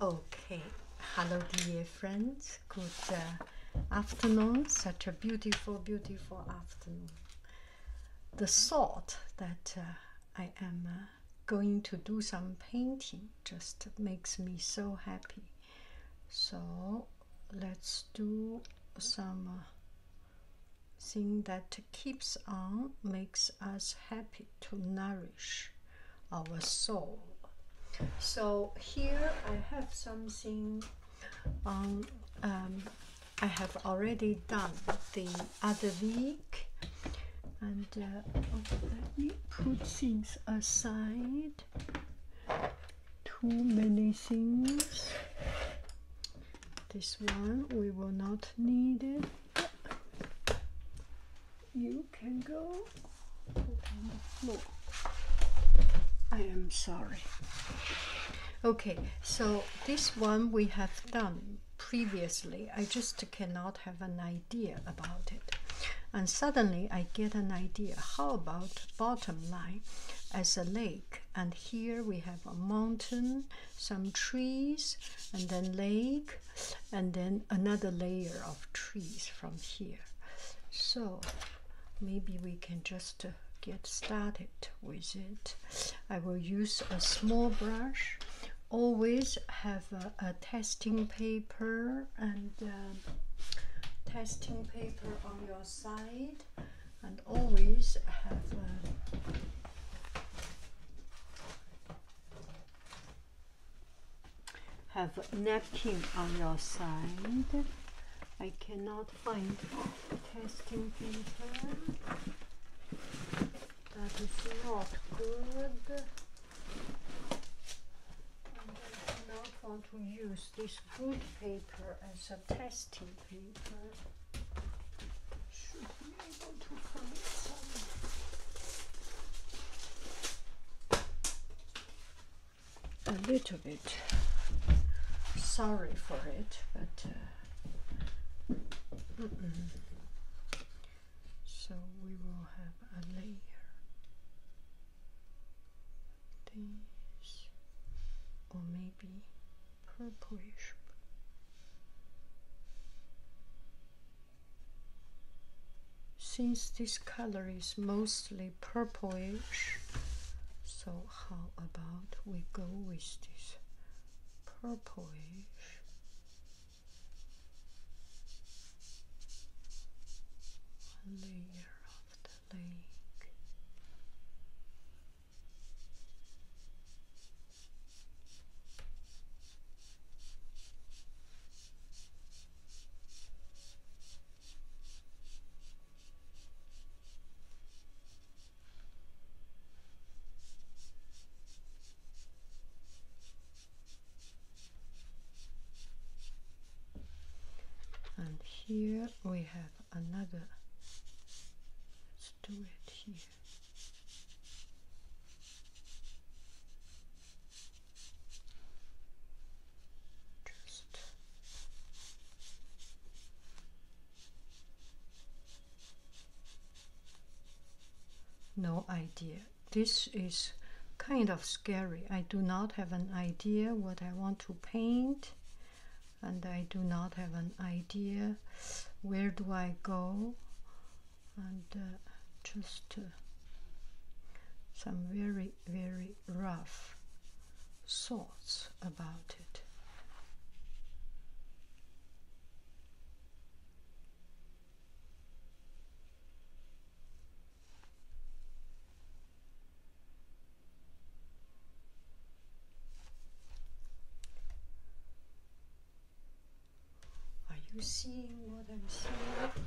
Okay, hello dear friends, good uh, afternoon, such a beautiful, beautiful afternoon. The thought that uh, I am uh, going to do some painting just makes me so happy. So let's do some thing that keeps on makes us happy to nourish our soul. So here I have something on. Um, um, I have already done the other week, and uh, oh, let me put things aside. Too many things. This one we will not need it. You can go I am sorry. Okay, so this one we have done previously. I just cannot have an idea about it. And suddenly I get an idea. How about bottom line as a lake? And here we have a mountain, some trees, and then lake, and then another layer of trees from here so maybe we can just uh, get started with it i will use a small brush always have a, testing paper and um, testing paper on your side and always have uh, have napkin on your side. I cannot find testing paper. That is not good. And I do not want to use this good paper as a testing paper able to find some a little bit sorry for it but uh, so we will have a layer this or maybe purplish since this color is mostly purplish, so how about we go with this purplish? layer of the lake and here we have another let's do it here just no idea. This is kind of scary. I do not have an idea what I want to paint, and I do not have an idea where do I go and uh, just uh, some very very rough thoughts about it are you seeing what I'm seeing?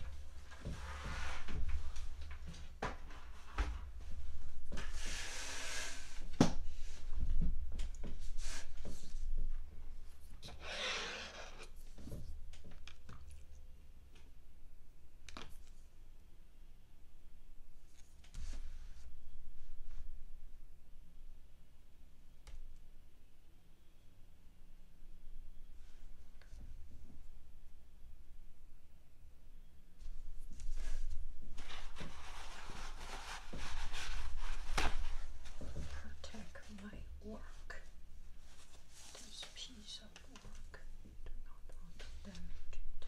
Protect my work. This piece of work. Do not want to damage it.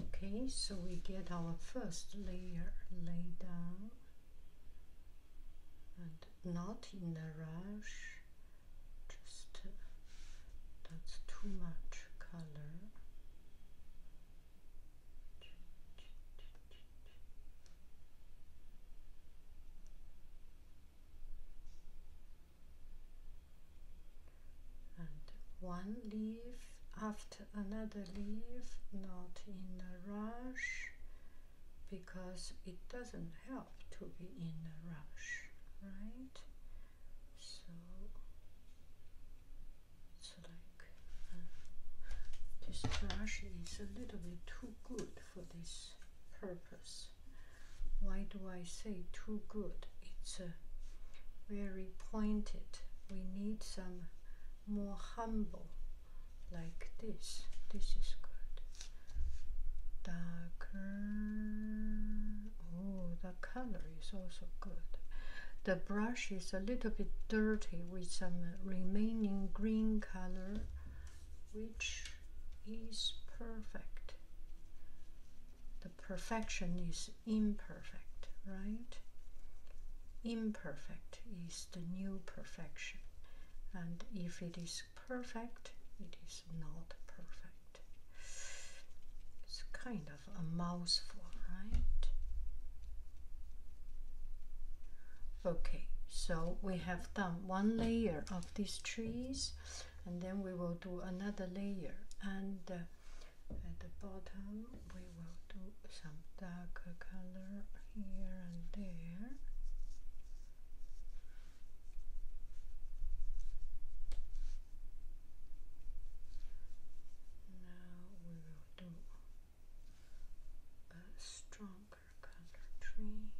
okay so we get our first layer laid down and not in a rush just uh, that's too much color and one leaf after another leaf not in a rush because it doesn't help to be in a rush right so it's like uh, this rush is a little bit too good for this purpose why do I say too good? It's uh, very pointed. We need some more humble, like this. This is good. Darker. Oh, the color is also good. The brush is a little bit dirty with some remaining green color, which is perfect the perfection is imperfect, right? Imperfect is the new perfection. And if it is perfect, it is not perfect. It's kind of a mouthful, right? Okay, so we have done one layer of these trees and then we will do another layer and uh, at the bottom we will do some darker color here and there now we will do a stronger color tree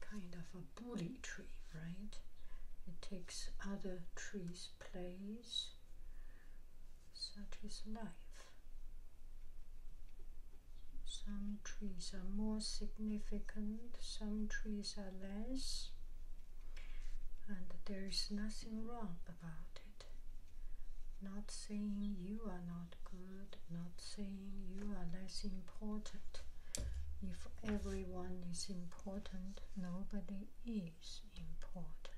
Kind of a bully tree, right? It takes other trees' place that is life. Some trees are more significant, some trees are less, and there is nothing wrong about it. Not saying you are not good, not saying you are less important. If everyone is important, nobody is important.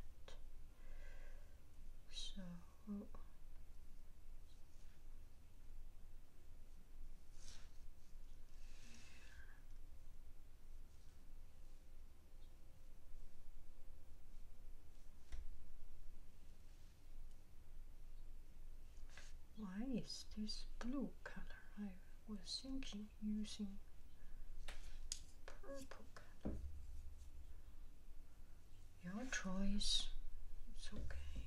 So why is this blue color? I was thinking using purple color. Your choice. It's okay.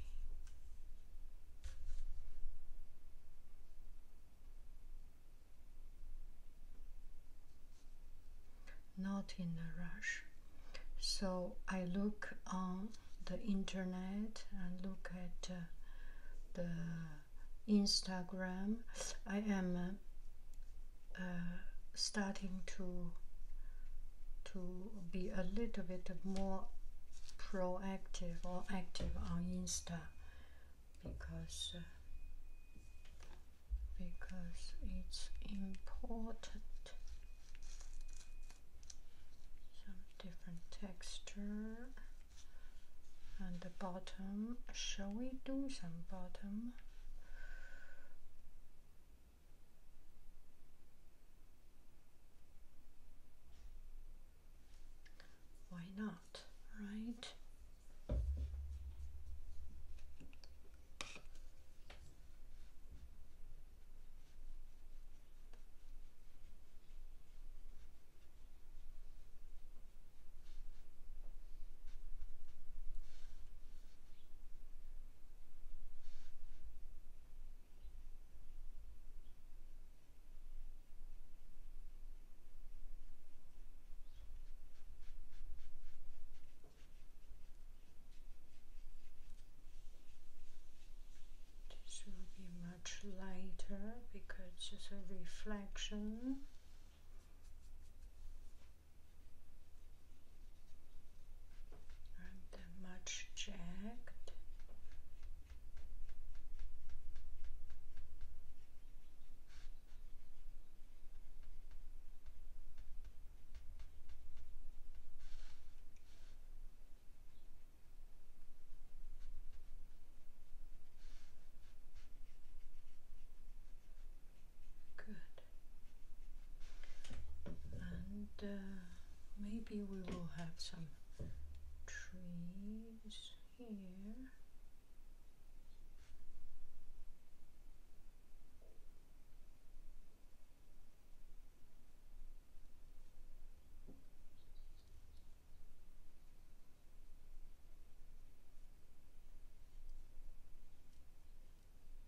Not in a rush. So I look on the internet and look at uh, the Instagram. I am uh, uh, starting to to be a little bit more proactive or active on Insta because uh, because it's important some different texture and the bottom shall we do some bottom why not, right? This will be much lighter because it's a reflection and much checked. Good. And uh, maybe we will have some trees here.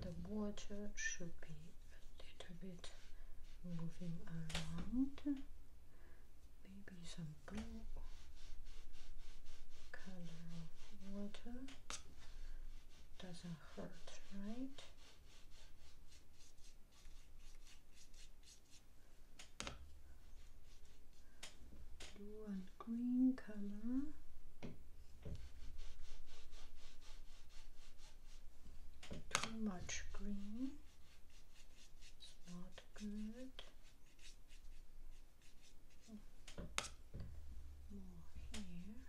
then the water should be a little bit moving around maybe some blue color of water doesn't hurt right blue green color too much green it's not good more here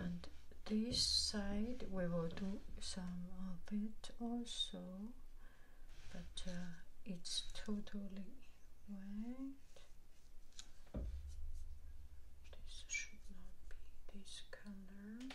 and this side we will do some of it also but uh, it's totally white. this should not be this color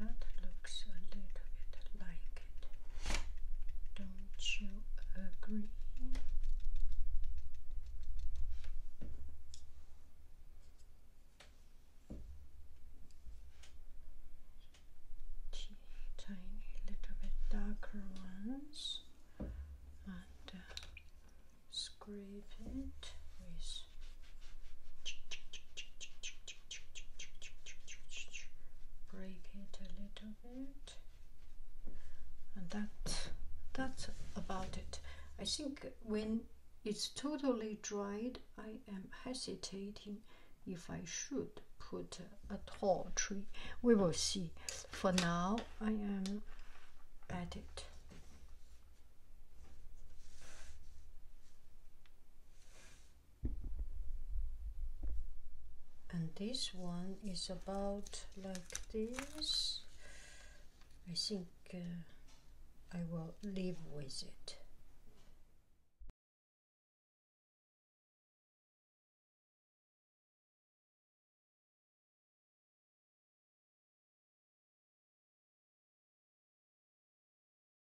That looks a little bit like it. Don't you agree? Tiny little bit darker ones and uh, scrape it with break it a little bit and that that's about it I think when it's totally dried I am hesitating if I should put a tall tree we will see for now I am at it and this one is about like this I think uh, I will live with it